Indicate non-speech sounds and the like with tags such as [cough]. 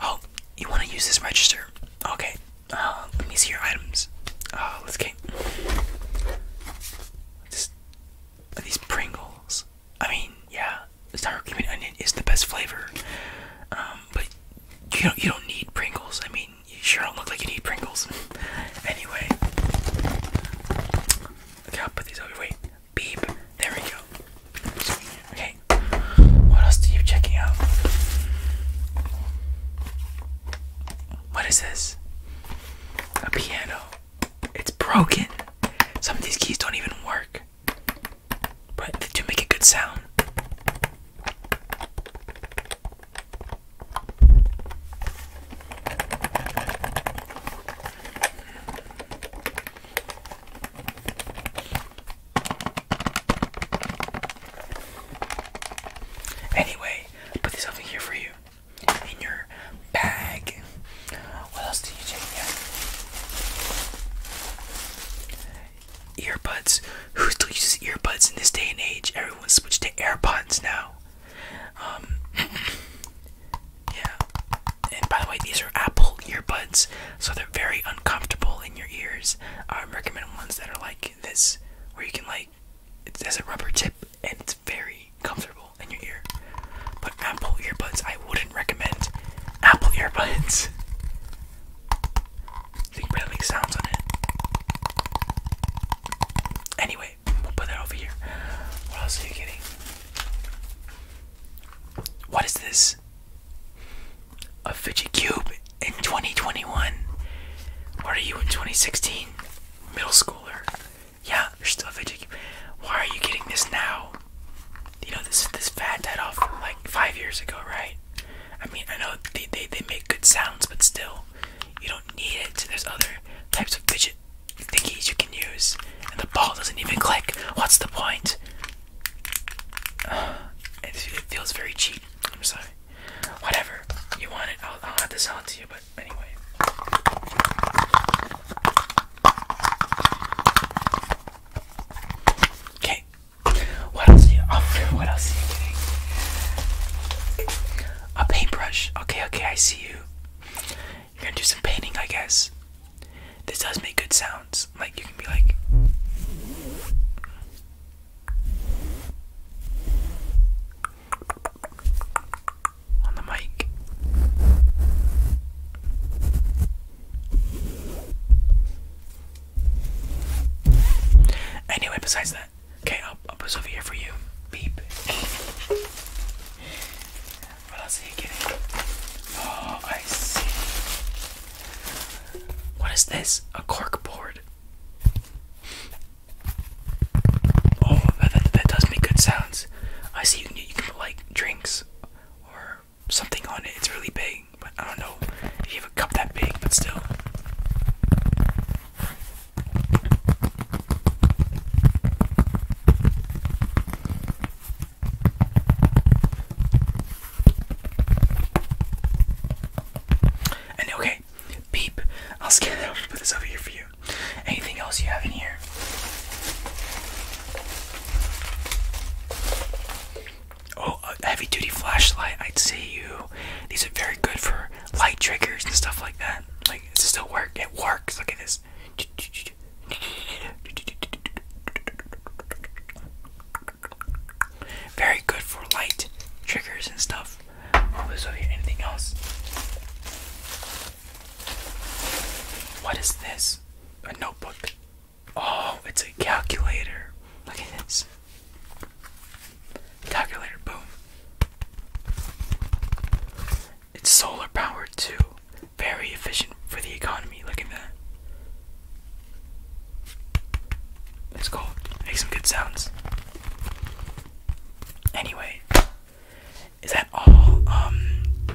Oh, you want to use this register? Okay. Uh, let me see your items. Uh, let's get. these Pringles. I mean, yeah, sour cream and onion is the best flavor. Um, but you don't you don't need Pringles. I mean, you sure don't look like you need Pringles. [laughs] anyway, okay, I'll put these over. Wait, Beep. There we go. Okay. What else do you checking out? What is this? A piano. It's broken. Some of these keys don't even work. But they do make a good sound. Anyway, put this something here for you in your bag. What else do you check Earbuds. Who still uses earbuds in this day and age? Everyone switched to AirPods now. Um, [laughs] yeah. And by the way, these are Apple earbuds, so they're very uncomfortable in your ears. I recommend ones that are like this, where you can like it has a rubber tip and it's very comfortable in your ear. But Apple earbuds, I wouldn't recommend Apple earbuds. So you make sounds on it. Anyway, we'll put that over here. What else are you getting? What is this? A fidget cube in 2021. What are you in 2016? Middle schooler. Yeah, you're still a fidget cube. Why are you getting this now? You know, this this fad died off like five years ago, right? I mean, I know they, they, they make good sounds, but still, you don't need it. There's other types of fidget thingies you can use. And the ball doesn't even click. What's the point? [sighs] it, feels very cheap. I'm sorry. Whatever. You want it, I'll, I'll have to sell to you, but anyway. Okay. What else [laughs] What else a paintbrush. Okay, okay, I see you. You're gonna do some painting, I guess. This does make good sounds. Like, you can be like. On the mic. Anyway, besides that, Okay, I'll, put this over here for you. Beep. what else are you getting? Oh, I see. What is this? A cork board. Oh, that, that does make good sounds. I see you can, you can put like drinks or something on it. It's really big but I don't know you have a cup that big, but still. And okay, beep. I'll scan it up and put this over here for you. Anything else you have in here? Oh, heavy duty flashlight, I'd say you. These are very good for light triggers and stuff like that. Like, does it still work? It works. Look at this. Very good for light triggers and stuff. What oh, was over Anything else? What is this? A notebook. Oh, it's a calculator. Look at this. Calculator, boom. It's solar powered too. Very efficient for the economy. Look at that. Let's go Make some good sounds. Anyway, is that all? Um